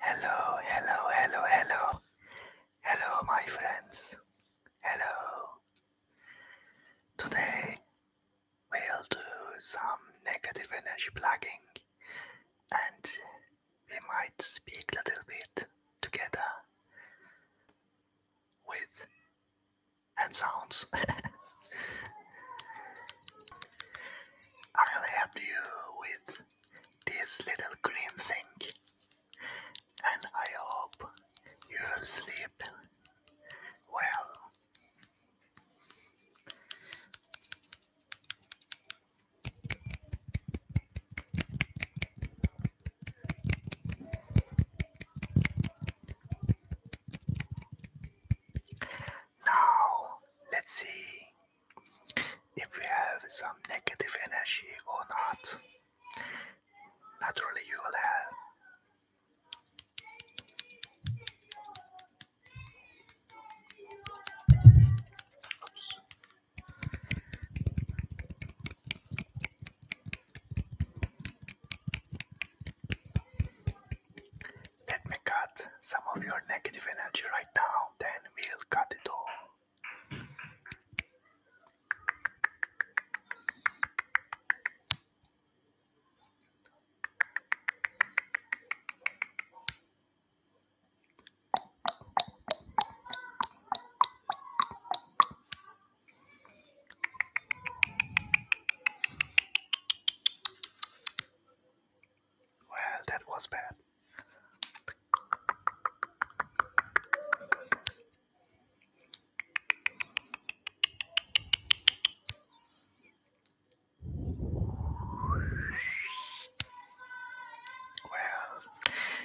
Hello, hello, hello, hello. Hello, my friends. Hello. Today we'll do some negative energy plugging and we might speak a little bit together with and sounds. I'm really happy with this little green thing, and I hope you will sleep well. Now, let's see if you have some negative energy or not. Naturally, you will have. Let me cut some of your negative energy right now, then we'll cut it all. Well, that was bad. Well,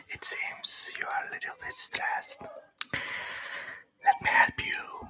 it seems you are a little bit stressed. Let me help you.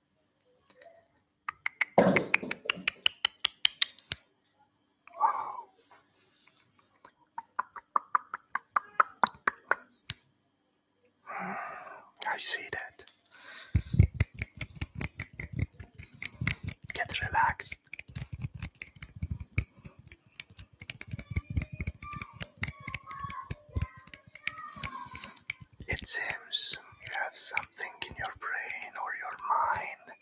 I see that. Get relaxed. It seems you have something in your brain or your mind,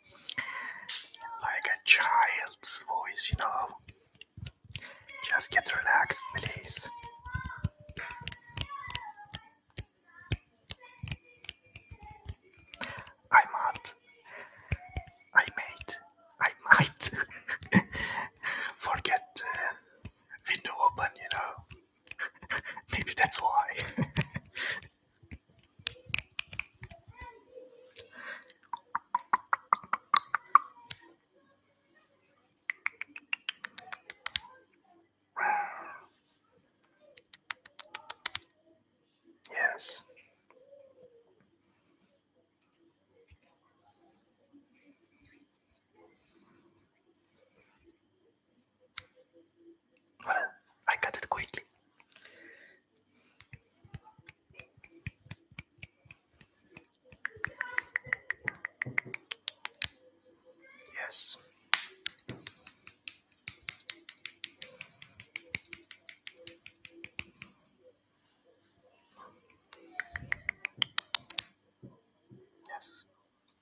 like a child's voice, you know. Just get relaxed, please. I might, I might, I might forget uh, window open, you know. Maybe that's why. yes. Well, I got it quickly. Yes. Yes.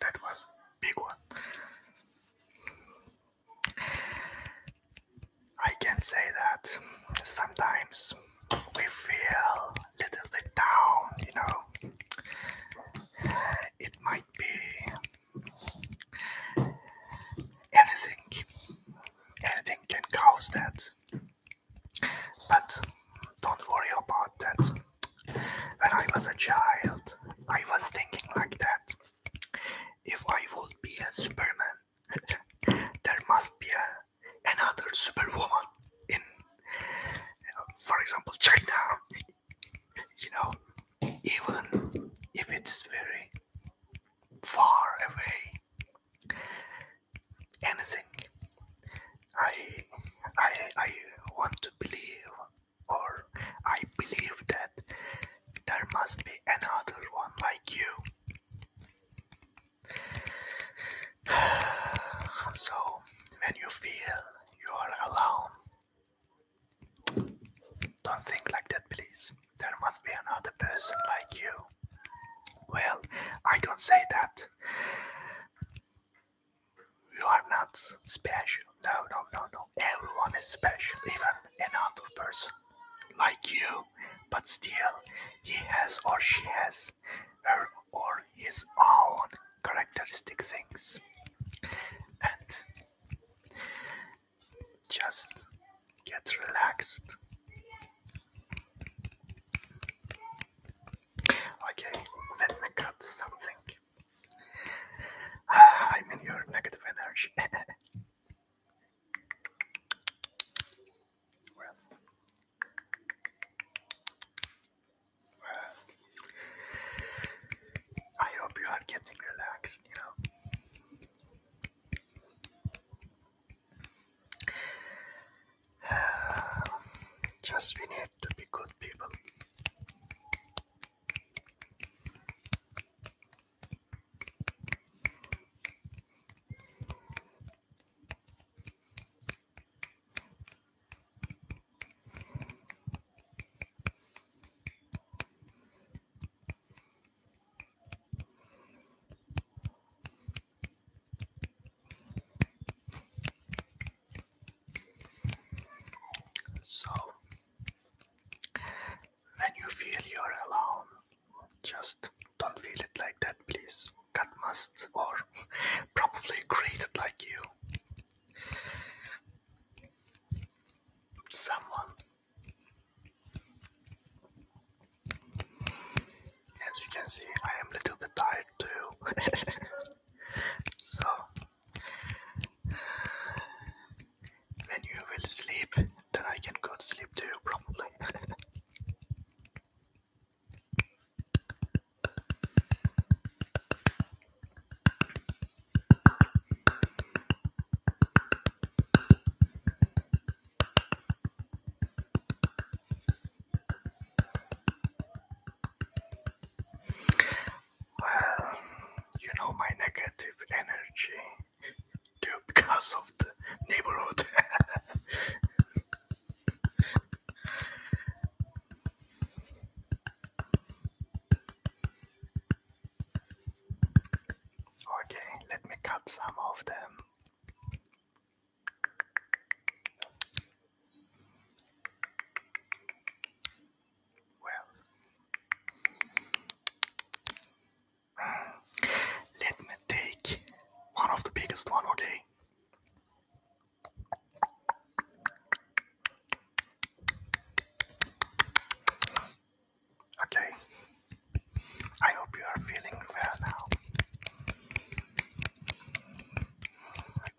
that was big one. I can say that sometimes we feel a little bit down, you know. It might be anything, anything can cause that. But don't worry about that when I was a child, I was thinking like that. If I would be a Superman, there must be another Superwoman in, for example, China. You know, even if it's very far away, anything I, I, I want to believe, or I believe that there must be another one like you. So, when you feel you are alone, don't think like that, please. There must be another person like you. Well, I don't say that. You are not special. No, no, no, no. Everyone is special, even an another person like you, but still, he has or she has her or his own characteristic things. And just get relaxed. Okay, let me cut something. I mean, your negative energy. I hope you are getting relaxed, you know. Just we need to be good people. So, when you feel you're alone, just don't feel it like that, please. God must, or probably created like you. Someone, as you can see, I am a little bit tired too. So, when you will sleep, then I can go to sleep too, probably. Well, you know my negative energy due because of the neighborhood. okay, let me cut some of them. Well, let me take one of the biggest one, okay? Okay, I hope you are feeling well now.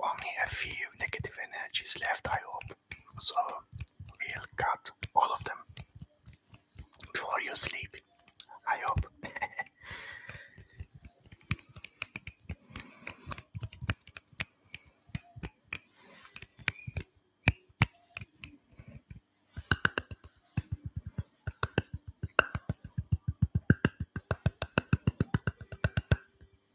Only a few negative energies left, I hope. So we'll cut all of them before you sleep. I hope.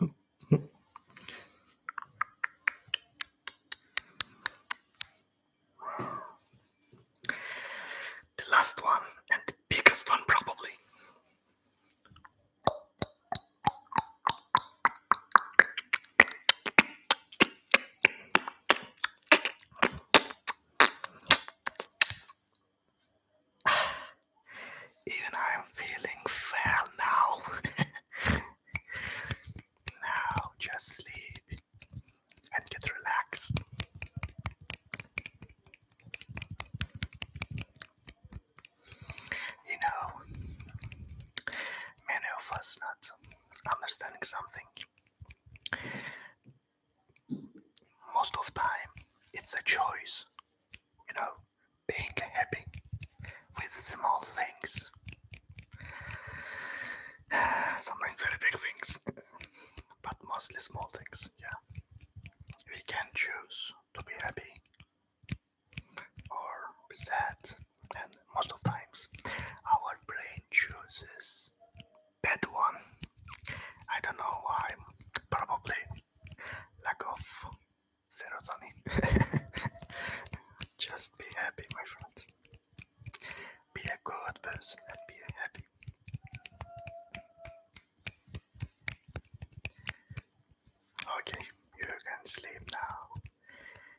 the last one and the biggest one, probably. Even I'm feeling well now. now just sleep and get relaxed. You know, many of us not understanding something most of time it's a choice you know being happy with small things sometimes very big things but mostly small things yeah we can choose to be happy or be sad and most of times our brain chooses bad one. I don't know why. Probably lack of serotonin. Just be happy, my friend. Be a good person and be happy. Okay, you can sleep now.